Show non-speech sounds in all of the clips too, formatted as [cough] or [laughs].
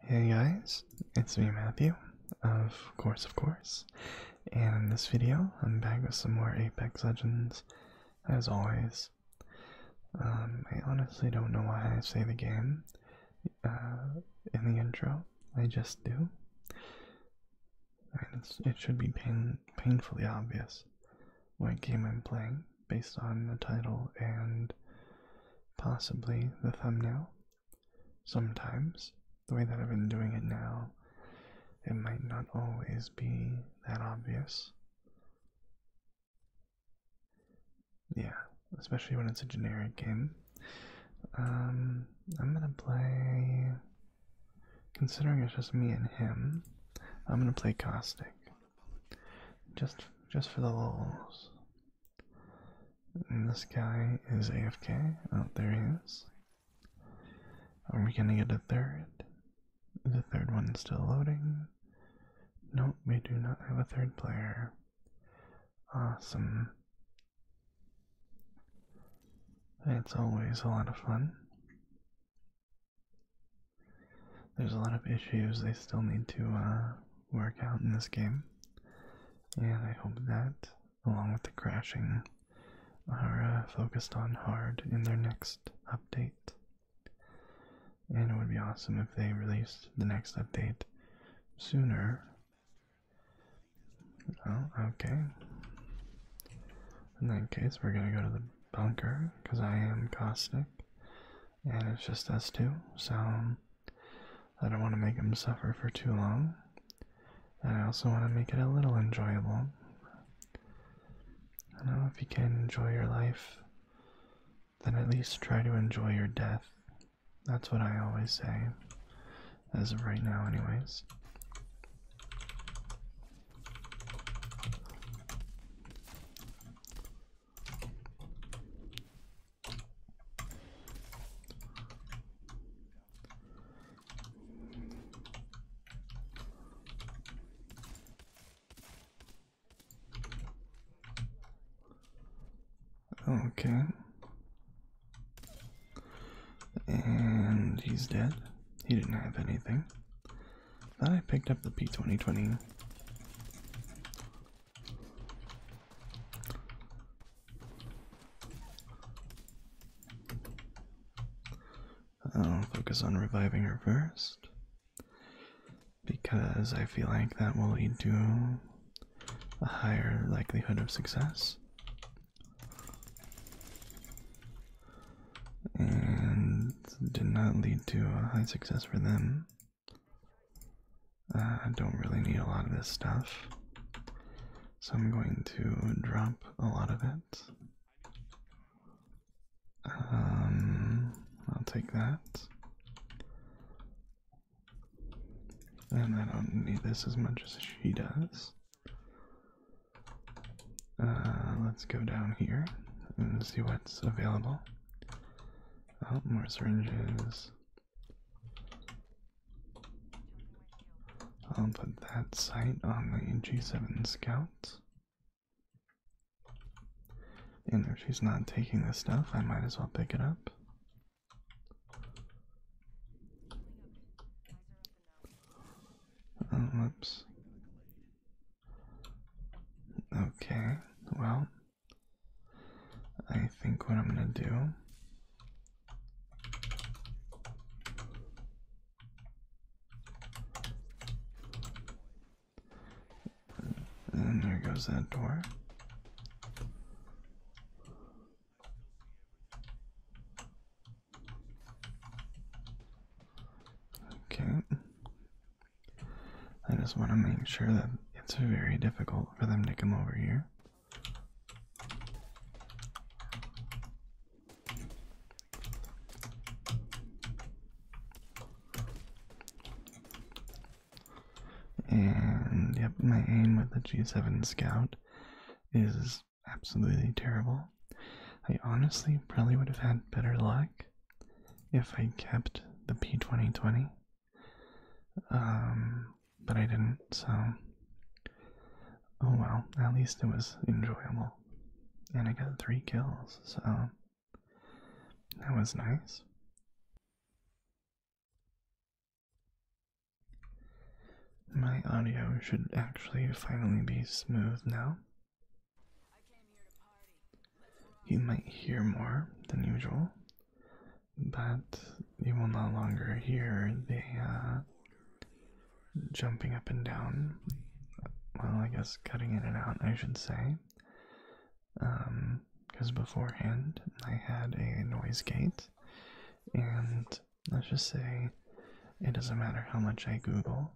Hey guys, it's me Matthew, of course of course, and in this video I'm back with some more Apex Legends, as always. Um, I honestly don't know why I say the game uh, in the intro, I just do. it should be painfully obvious what game I'm playing based on the title and possibly the thumbnail. Sometimes, the way that I've been doing it now, it might not always be that obvious. Yeah, especially when it's a generic game. Um, I'm gonna play. Considering it's just me and him, I'm gonna play Caustic. Just just for the lulz. And this guy is AFK. Oh, there he is. Are we gonna get a third? The third one still loading. Nope, we do not have a third player. Awesome. It's always a lot of fun. There's a lot of issues they still need to uh, work out in this game. And I hope that, along with the crashing, are uh, focused on hard in their next update. And it would be awesome if they released the next update sooner. Oh, okay. In that case, we're gonna go to the bunker because I am caustic and it's just us two, so um, I don't want to make him suffer for too long. And I also want to make it a little enjoyable. I know if you can enjoy your life, then at least try to enjoy your death. That's what I always say, as of right now, anyways. Okay. And he's dead. He didn't have anything. Then I picked up the P2020. I'll focus on reviving her first because I feel like that will lead to a higher likelihood of success. And did not lead to a high success for them. I uh, don't really need a lot of this stuff, so I'm going to drop a lot of it. Um, I'll take that. And I don't need this as much as she does. Uh, let's go down here and see what's available. Oh, more syringes. I'll put that sight on the G7 Scout. And if she's not taking this stuff, I might as well pick it up. Oh, Okay, well, I think what I'm going to do and there goes that door. Okay. I just want to make sure that it's very difficult for them to come over here. And yep, my aim with the G7 Scout is absolutely terrible. I honestly probably would have had better luck if I kept the P2020. Um, but I didn't, so oh well, at least it was enjoyable. And I got three kills, so that was nice. My audio should actually finally be smooth now. You might hear more than usual, but you will no longer hear the uh, jumping up and down. Well, I guess cutting in and out, I should say. Because um, beforehand, I had a noise gate, and let's just say it doesn't matter how much I Google,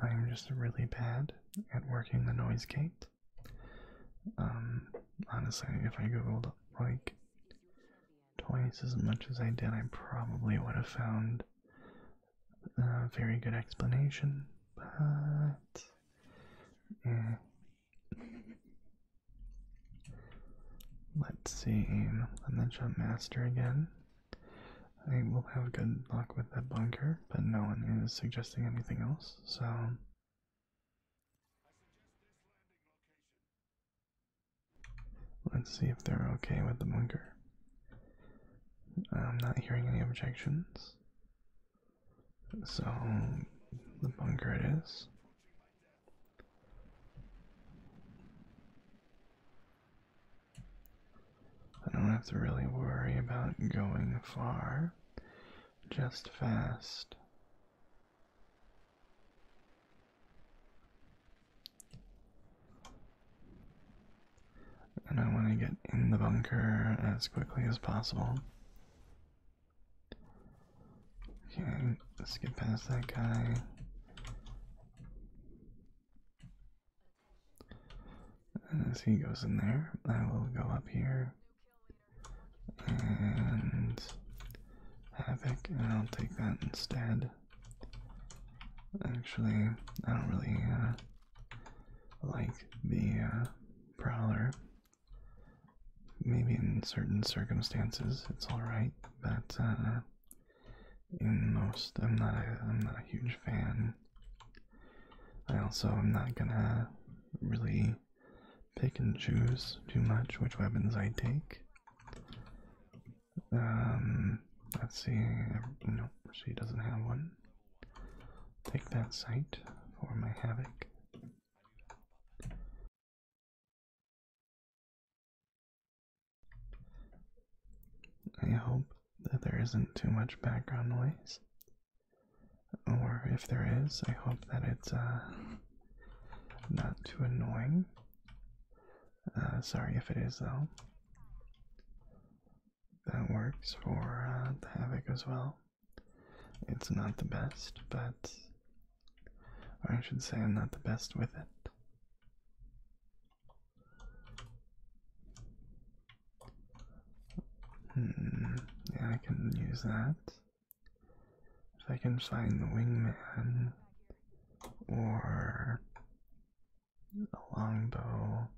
I'm just really bad at working the noise gate. Um, honestly, if I googled like twice as much as I did, I probably would have found a very good explanation, but eh. Let's see, I'm the jump master again. I will have good luck with that bunker, but no one is suggesting anything else so let's see if they're okay with the bunker. I'm not hearing any objections, so the bunker it is. I don't have to really worry about going far just fast. And I want to get in the bunker as quickly as possible. Okay, let's get past that guy. As uh, he goes in there, I will go up here and Havoc, and I'll take that instead. Actually, I don't really uh, like the uh, Prowler. Maybe in certain circumstances it's alright, but in most, I'm not, I'm not a huge fan. I also am not gonna really pick and choose too much which weapons I take. Um, let's see. No, she doesn't have one. Take that sight for my havoc. I hope that there isn't too much background noise. Or if there is, I hope that it's uh, not too annoying. Uh, sorry if it is, though. That works for uh, the Havoc as well. It's not the best, but. I should say, I'm not the best with it. Hmm, yeah, I can use that. If I can find the wingman or the longbow.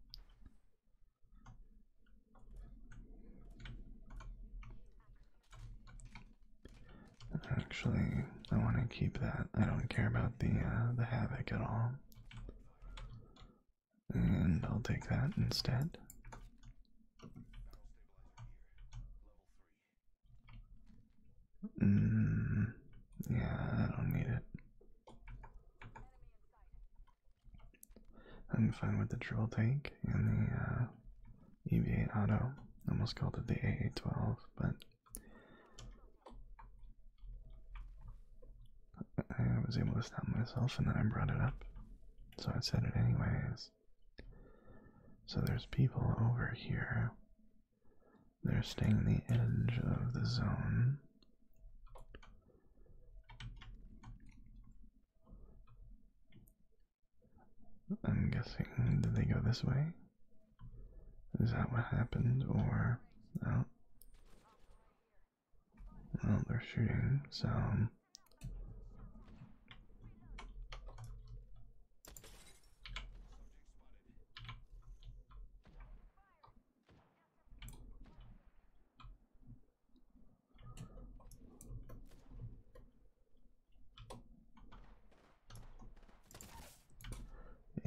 Actually, I want to keep that. I don't care about the uh, the havoc at all. And I'll take that instead. Mm, yeah, I don't need it. I'm fine with the drill tank and the uh, EV8 auto. almost called it the AA12, but I was able to stop myself and then I brought it up. So I said it anyways. So there's people over here. They're staying the edge of the zone. I'm guessing, did they go this way? Is that what happened, or... Oh. Well, oh, they're shooting, some,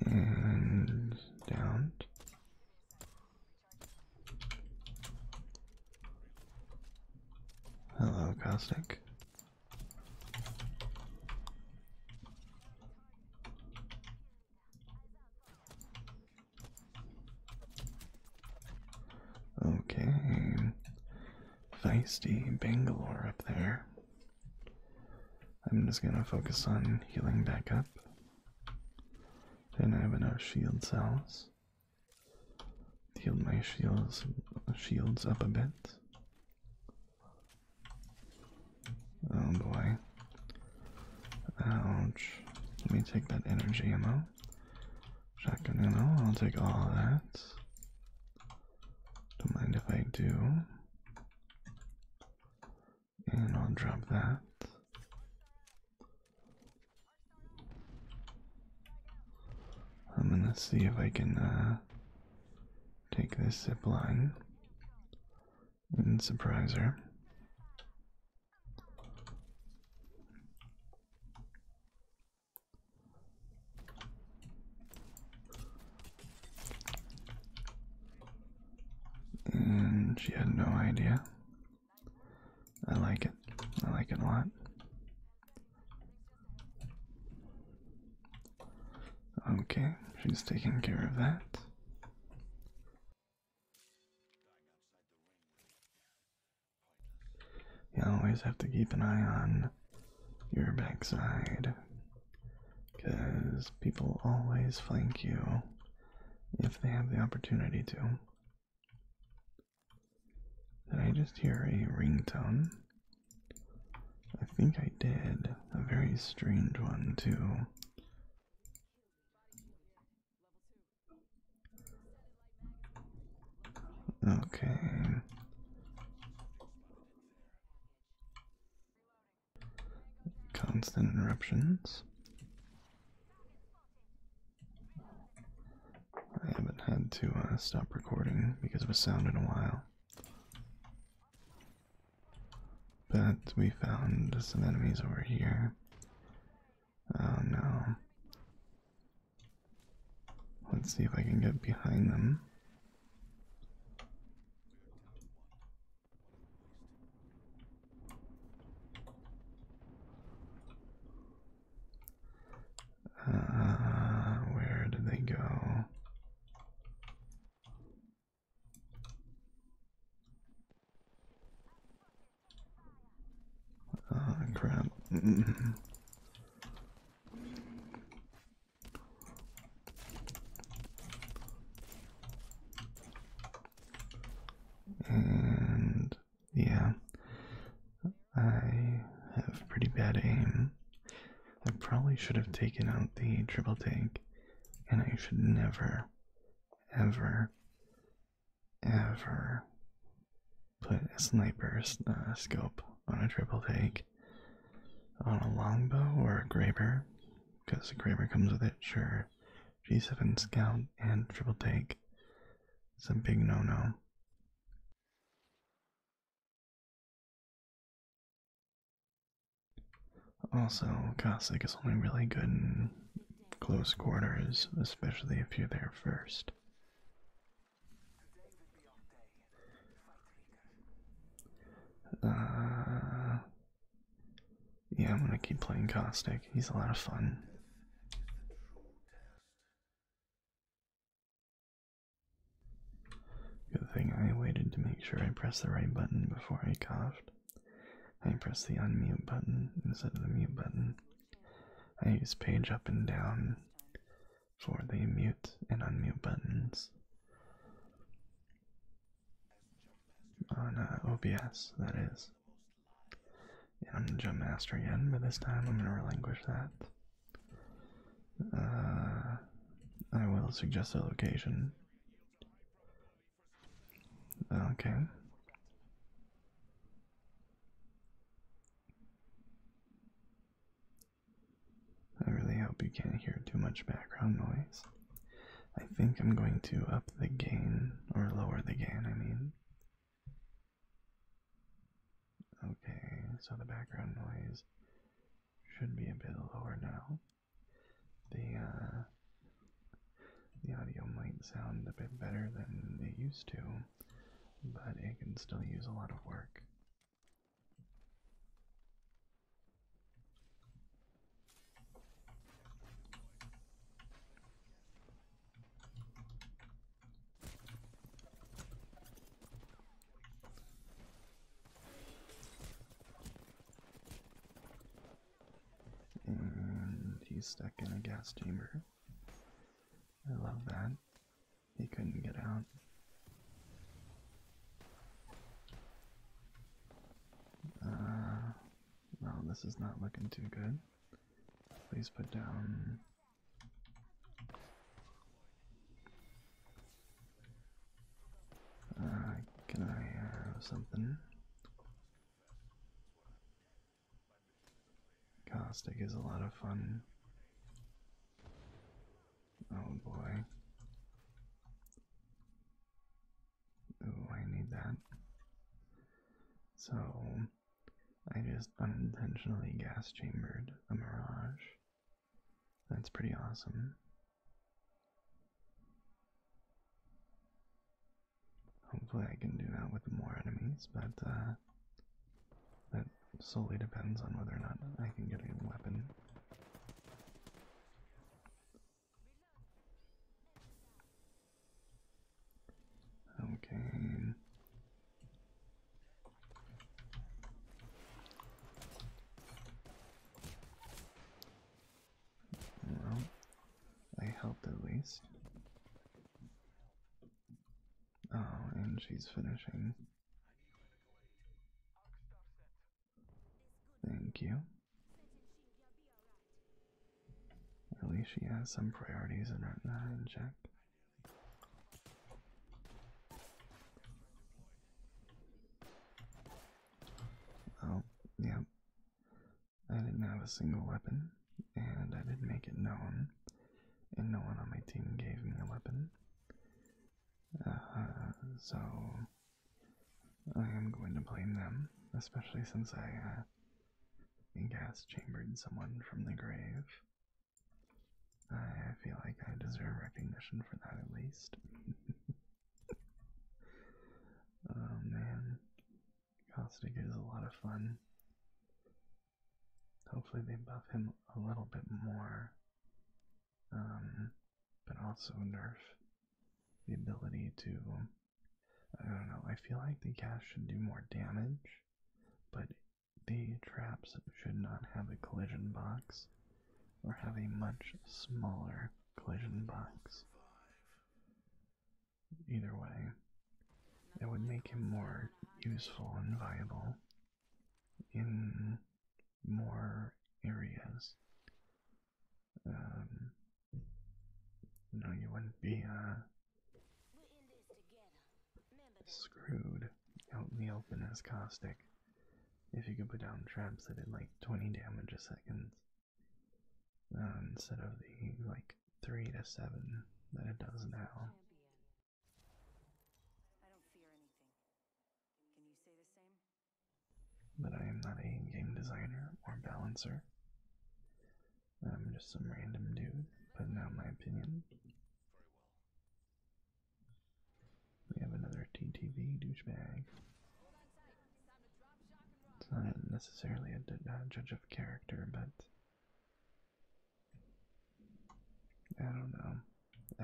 And downed. Hello, Caustic. Okay, feisty Bangalore up there. I'm just gonna focus on healing back up. Then I have enough shield cells. Heal my shields shields up a bit. Oh boy. Ouch. Let me take that energy ammo. Shotgun ammo, I'll take all that. Don't mind if I do. And I'll drop that. I'm gonna see if I can uh, take this zip line and surprise her. And she had no idea. I like it. I like it a lot. Okay, she's taking care of that. You always have to keep an eye on your backside because people always flank you if they have the opportunity to. Did I just hear a ringtone? I think I did. A very strange one, too. Okay. Constant interruptions. I haven't had to uh, stop recording because of a sound in a while. But we found some enemies over here. Oh no. Let's see if I can get behind them. Uh, where did they go? Oh, crap. [laughs] and yeah. I have pretty bad aim. I probably should have taken out the triple tank, and I should never, ever, ever put a sniper uh, scope on a triple tank. On a longbow or a graber, because the graber comes with it, sure, G7 Scout, and Triple Take. It's a big no no. Also, Cossack is only really good in close quarters, especially if you're there first. Uh, yeah, I'm gonna keep playing Caustic. He's a lot of fun. Good thing I waited to make sure I pressed the right button before I coughed. I pressed the unmute button instead of the mute button. I use page up and down for the mute and unmute buttons on uh, OBS, that is. I'm jump Master again, but this time I'm going to relinquish that. Uh, I will suggest a location. Okay. I really hope you can't hear too much background noise. I think I'm going to up the gain or lower the gain, I mean. Okay, so the background noise should be a bit lower now. The uh, the audio might sound a bit better than it used to, but it can still use a lot of work. And he's stuck in a gas chamber. I love that. He couldn't get out. Uh, well, this is not looking too good. Please put down. Uh, can I have something? Caustic is a lot of fun. Oh boy. Oh, I need that. So, I just unintentionally gas chambered a mirage. That's pretty awesome. Hopefully, I can do that with more enemies, but uh, that solely depends on whether or not I can get a weapon. Okay. Well, I helped at least. Oh, and she's finishing. Thank you. At least she has some priorities in her not in check. Oh, yeah. I didn't have a single weapon, and I didn't make it known, and no one on my team gave me a weapon. Uh, so I am going to blame them, especially since I uh, and gas chambered someone from the grave. I feel like I deserve recognition for that at least. [laughs] oh man, Caustic is a lot of fun. Hopefully, they buff him a little bit more, um, but also nerf the ability to I don't know. I feel like the gas should do more damage, but the traps should not have a collision box or have a much smaller collision box. Either way, it would make him more useful and viable in more areas. Um, no, you wouldn't be screwed out in the open as caustic if you could put down traps that did like 20 damage a second uh, instead of the like 3 to 7 that it does now. But I am not a game designer or balancer. I'm um, just some random dude putting out my opinion. We have another TTV douchebag. It's not necessarily a judge of character, but I don't know.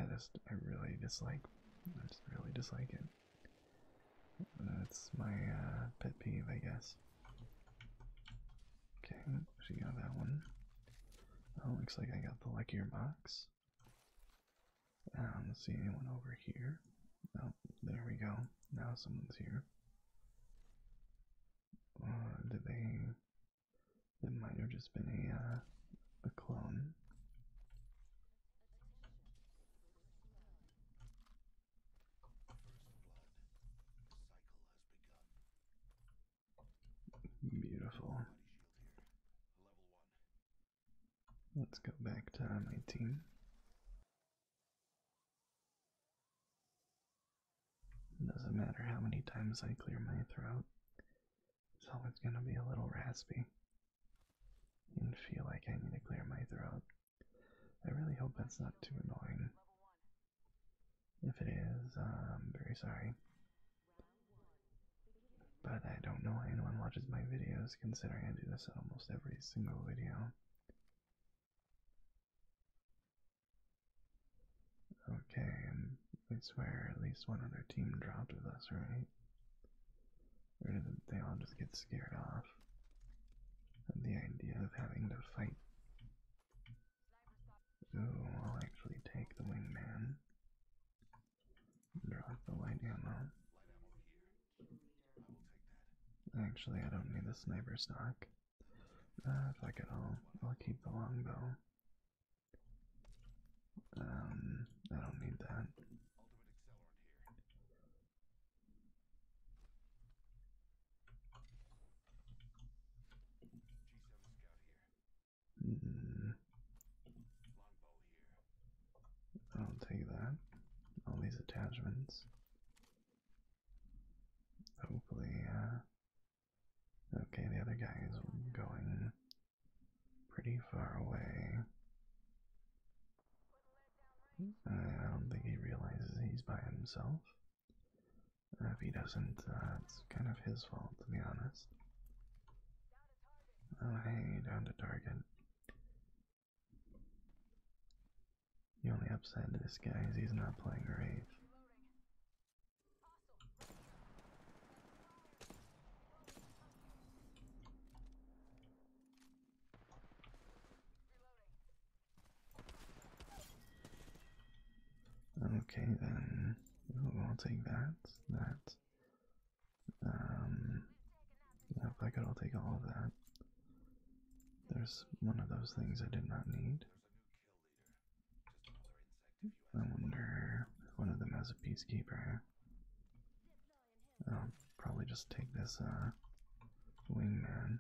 I just I really dislike I just really dislike it. That's my uh, pet peeve, I guess. Okay, she got that one. Oh, looks like I got the luckier box. Um, let's see anyone over here. Oh, there we go. Now someone's here. Uh, did they? It might have just been a uh, a clone. Beautiful. Let's go back to my team. Doesn't matter how many times I clear my throat, it's always going to be a little raspy and feel like I need to clear my throat. I really hope that's not too annoying. If it is, I'm very sorry. But I don't know why anyone watches my videos, considering I do this in almost every single video. Okay, I swear at least one other team dropped with us, right? Or did they all just get scared off? at the idea of having to fight. So I'll actually take the wingman, drop the light ammo. Actually, I don't need the sniper stock. fuck uh, it, i I'll keep the longbow. Um, I don't need that. Mm. I'll take that. All these attachments. Hopefully, uh, okay, the other guy is going pretty far away. Uh, I don't think he realizes he's by himself. Uh, if he doesn't, uh, it's kind of his fault, to be honest. Oh, hanging down to target. The only upside to this guy is he's not playing rage. Okay, then we'll take that, that, um, yeah, if I could, I'll take all of that. There's one of those things I did not need. I wonder if one of them has a peacekeeper. I'll probably just take this uh, wingman.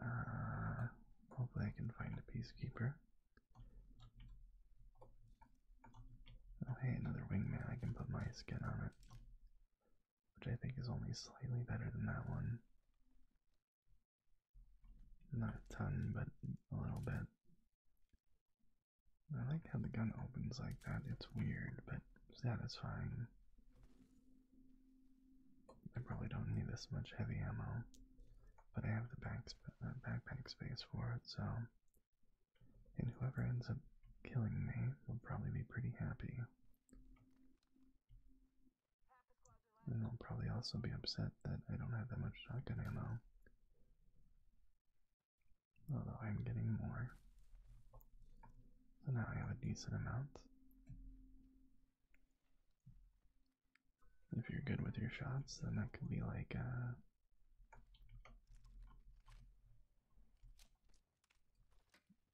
Uh, hopefully, I can find a peacekeeper. Oh, hey, another wingman. I can put my skin on it, which I think is only slightly better than that one. Not a ton, but a little bit. I like how the gun opens like that. It's weird, but satisfying. I probably don't need this much heavy ammo, but I have the back uh, backpack space for it, so. And whoever ends up killing me will probably be pretty happy. And they'll probably also be upset that I don't have that much shotgun ammo although I'm getting more. So now I have a decent amount. If you're good with your shots, then that could be like a.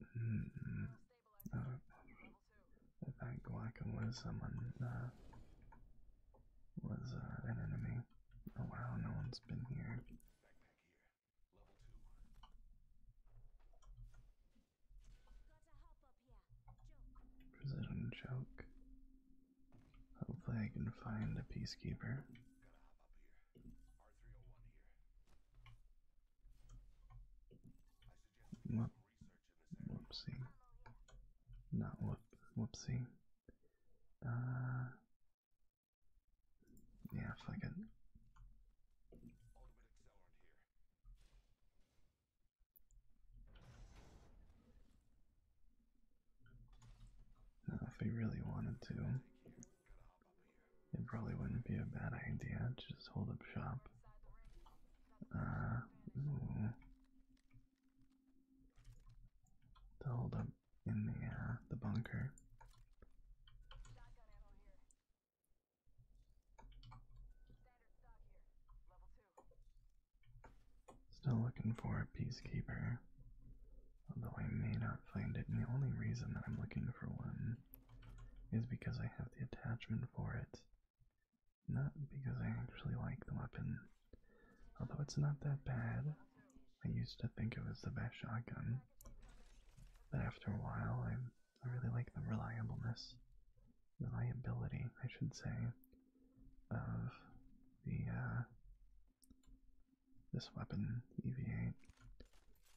Uh, mm -mm. Oh, uh, I thought Guaca was someone, uh, was uh, an enemy. Oh wow, no one's been here. Precision choke. Hopefully, I can find a peacekeeper. Oh whoopsie. Not Whoopsie. Uh, yeah, fuck it. Now, if we really wanted to, it probably wouldn't be a bad idea to just hold up shop. Uh, To hold up in the uh, the bunker. Still looking for a peacekeeper, although I may not find it. And the only reason that I'm looking for one is because I have the attachment for it, not because I actually like the weapon. Although it's not that bad, I used to think it was the best shotgun, but after a while, I, I really like the reliableness, reliability, I should say, of the uh, this weapon EV8.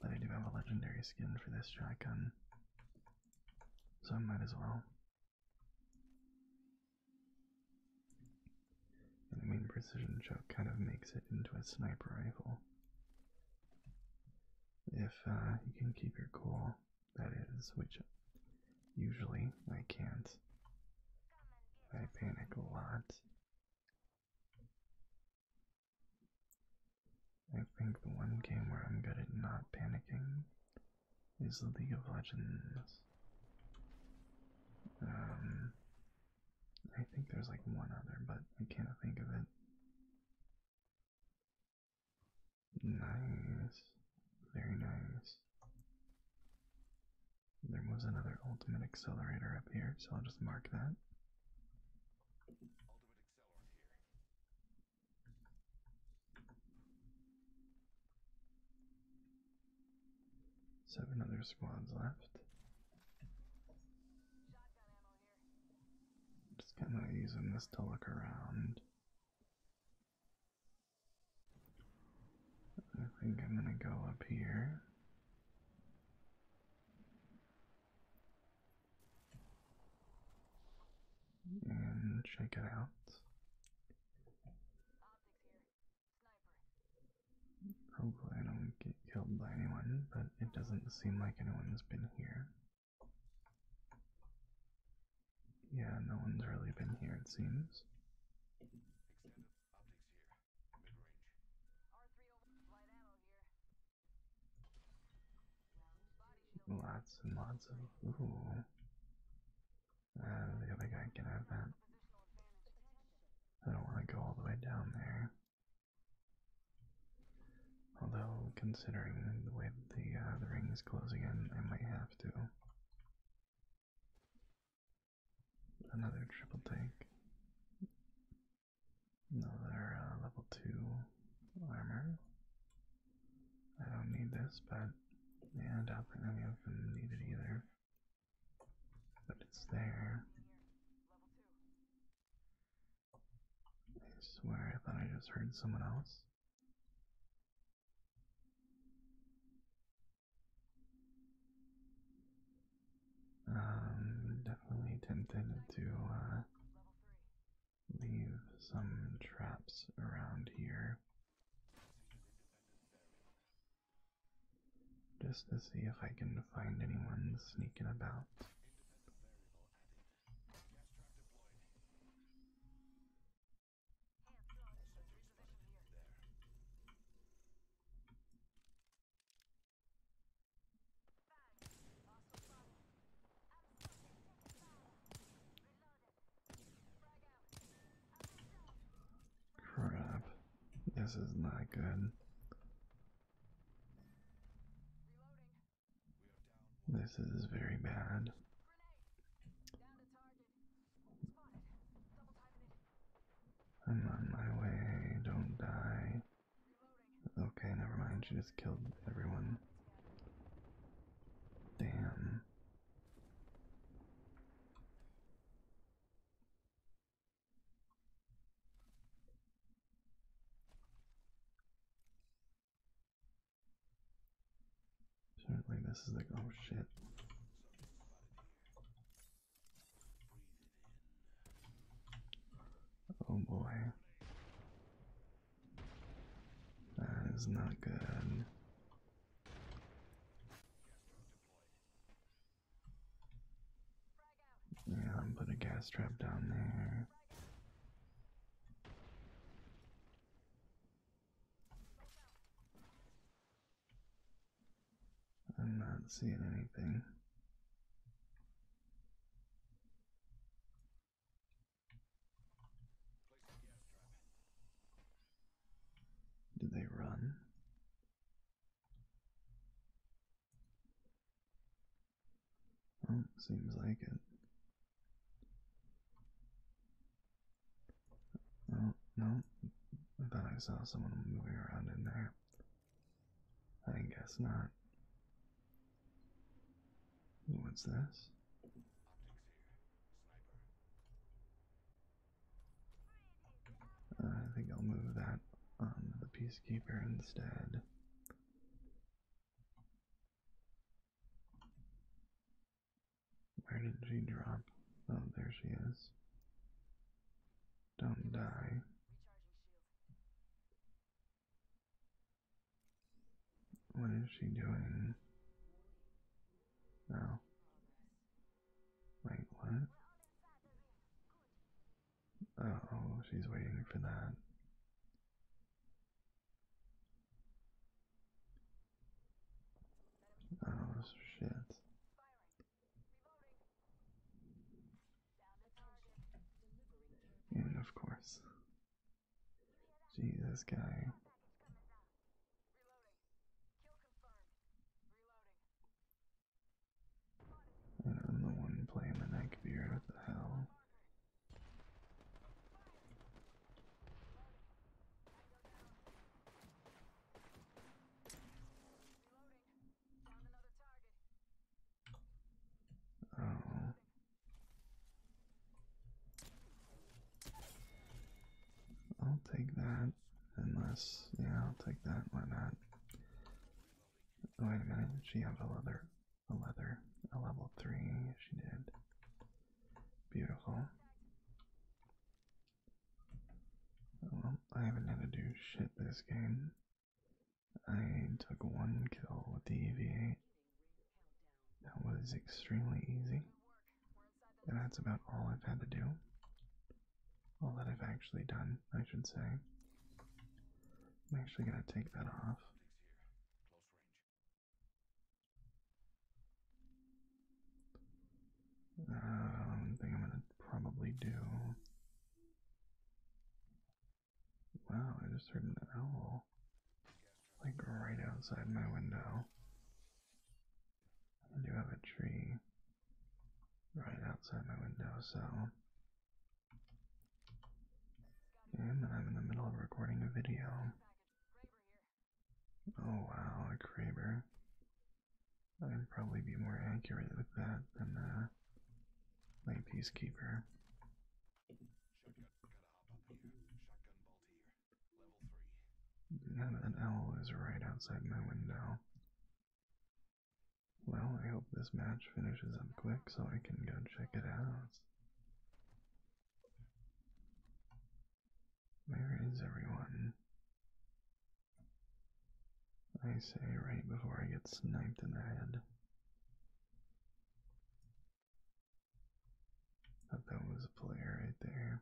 But I do have a legendary skin for this shotgun, so I might as well. And I mean, precision choke kind of makes it into a sniper rifle. If uh, you can keep your cool, that is, which usually I can't. I panic a lot. I think the one game where I'm good at not panicking is League of Legends. Um, I think there's like one other, but I can't think of it. Nice. Very nice. There was another ultimate accelerator up here, so I'll just mark that. Seven other squads left. Just kind of using this to look around. I think I'm going to go up here. And check it out. Hopefully I don't get killed by anyone, but it doesn't seem like anyone has been here. Yeah, no one's really been here, it seems. Lots and lots of. Ooh. Uh, the other guy can have that. I don't want to go all the way down there. Although, considering the way the, uh, the ring is closing in, I might have to. Another triple tank. Another uh, level 2 armor. I don't need this, but yeah, I doubt that I haven't needed either. But it's there. I swear, I thought I just heard someone else. Um, definitely tempted to uh, leave some traps around here just to see if I can find anyone sneaking about. Crap. This is not good. This is very bad. I'm on my way, don't die. Okay, never mind, she just killed everyone. Damn. Certainly, this is like, oh shit. Oh boy. That is not good. Yeah, I'm putting a gas trap down there. I'm not seeing anything. Do they run? Well, seems like it. No, no. I thought I saw someone moving around in there. I guess not. What's this? Uh, I think I'll move that on um, the Peacekeeper instead. Where did she drop? Oh, there she is. Don't die. What is she doing? No. Oh. Wait, what? Oh, she's waiting for that. Oh, shit. And of course. Jesus, guy. I'm the one playing blaming that computer, what the hell? Oh. I'll take that. Unless, yeah, I'll take that. Why not? Wait a minute. Did she have a leather? A leather? A level three? She did. Beautiful. Well, I haven't had to do shit this game. I took one kill with the EVA. That was extremely easy. And that's about all I've had to do all that I've actually done, I should say. I'm actually going to take that off. Um, I I'm going to probably do. Wow, I just heard an owl. Like right outside my window. I do have a tree right outside my window, so. And I'm in the middle of recording a video. Oh wow, a Kraber. I'd probably be more accurate with that than uh, my Peacekeeper. Now that owl is right outside my window. Well, I hope this match finishes up quick so I can go check it out. Where is everyone? I say right before I get sniped in the head. that was a player right there.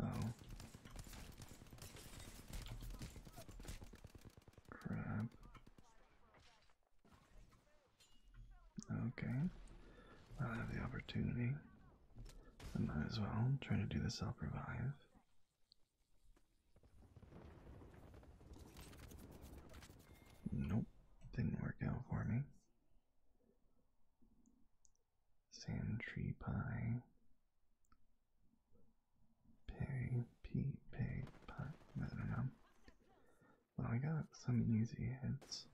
Oh. Crap. Okay. I'll have the opportunity. I might as well try to do the self revive. Nope, didn't work out for me. Sand tree pie. Pay, pee, pay, pie. I don't know. Well, I got some easy hits.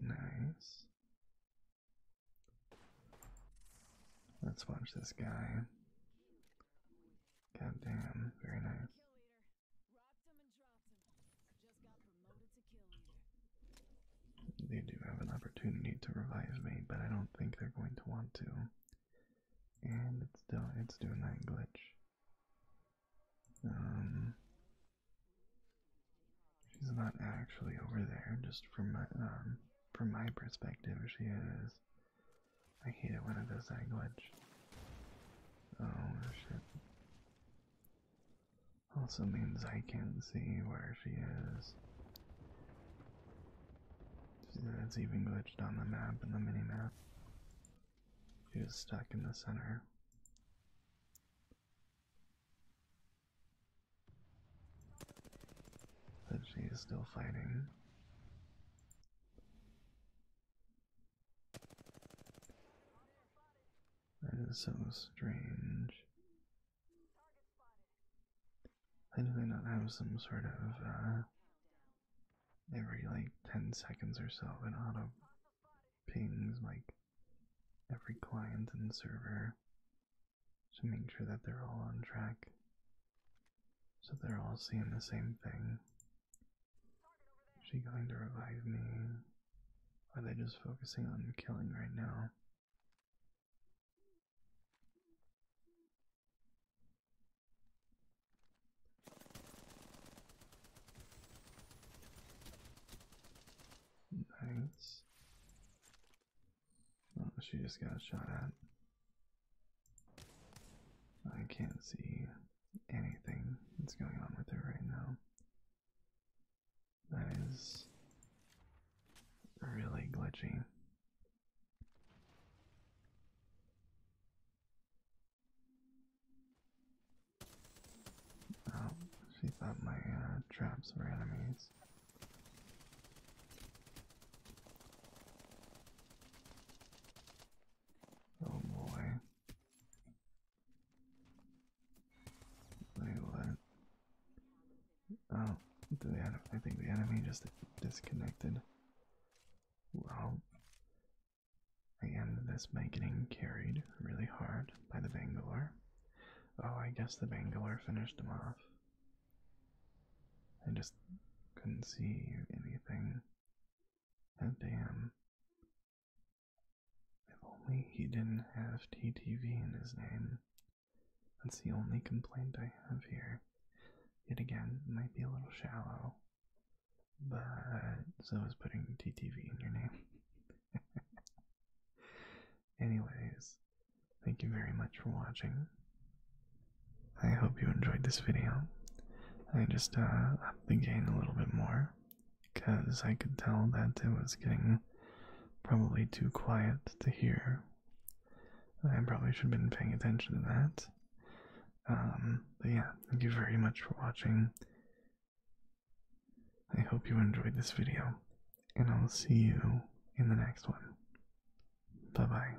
Nice. Let's watch this guy. God damn, very nice. They do have an opportunity to revise me, but I don't think they're going to want to. And it's still it's doing that glitch. Um She's not actually over there, just from my um from my perspective she is. I hate it when it does that glitch. Oh shit. Also means I can't see where she is. It's even glitched on the map and the mini-map. She's stuck in the center. But she is still fighting. That is so strange. Why do they not have some sort of, uh, every like 10 seconds or so an auto pings like every client and server to make sure that they're all on track so they're all seeing the same thing. Is she going to revive me? Are they just focusing on killing right now? Nice. Oh, she just got shot at. I can't see anything that's going on with her right now. That is really glitchy. Oh, she thought my uh, traps were enemies. Oh boy. Wait, what? Oh, the I think the enemy just disconnected. Well, and this by getting carried really hard by the Bangalore. Oh, I guess the Bangalore finished him off. I just couldn't see anything. But oh, damn. If only he didn't have TTV in his name. That's the only complaint I have here. Yet again, might be a little shallow, but so is putting TTV in your name. [laughs] Anyways, thank you very much for watching. I hope you enjoyed this video. I just uh, upped the gain a little bit more because I could tell that it was getting probably too quiet to hear. I probably should have been paying attention to that. Um, but yeah, thank you very much for watching. I hope you enjoyed this video, and I'll see you in the next one. Bye bye.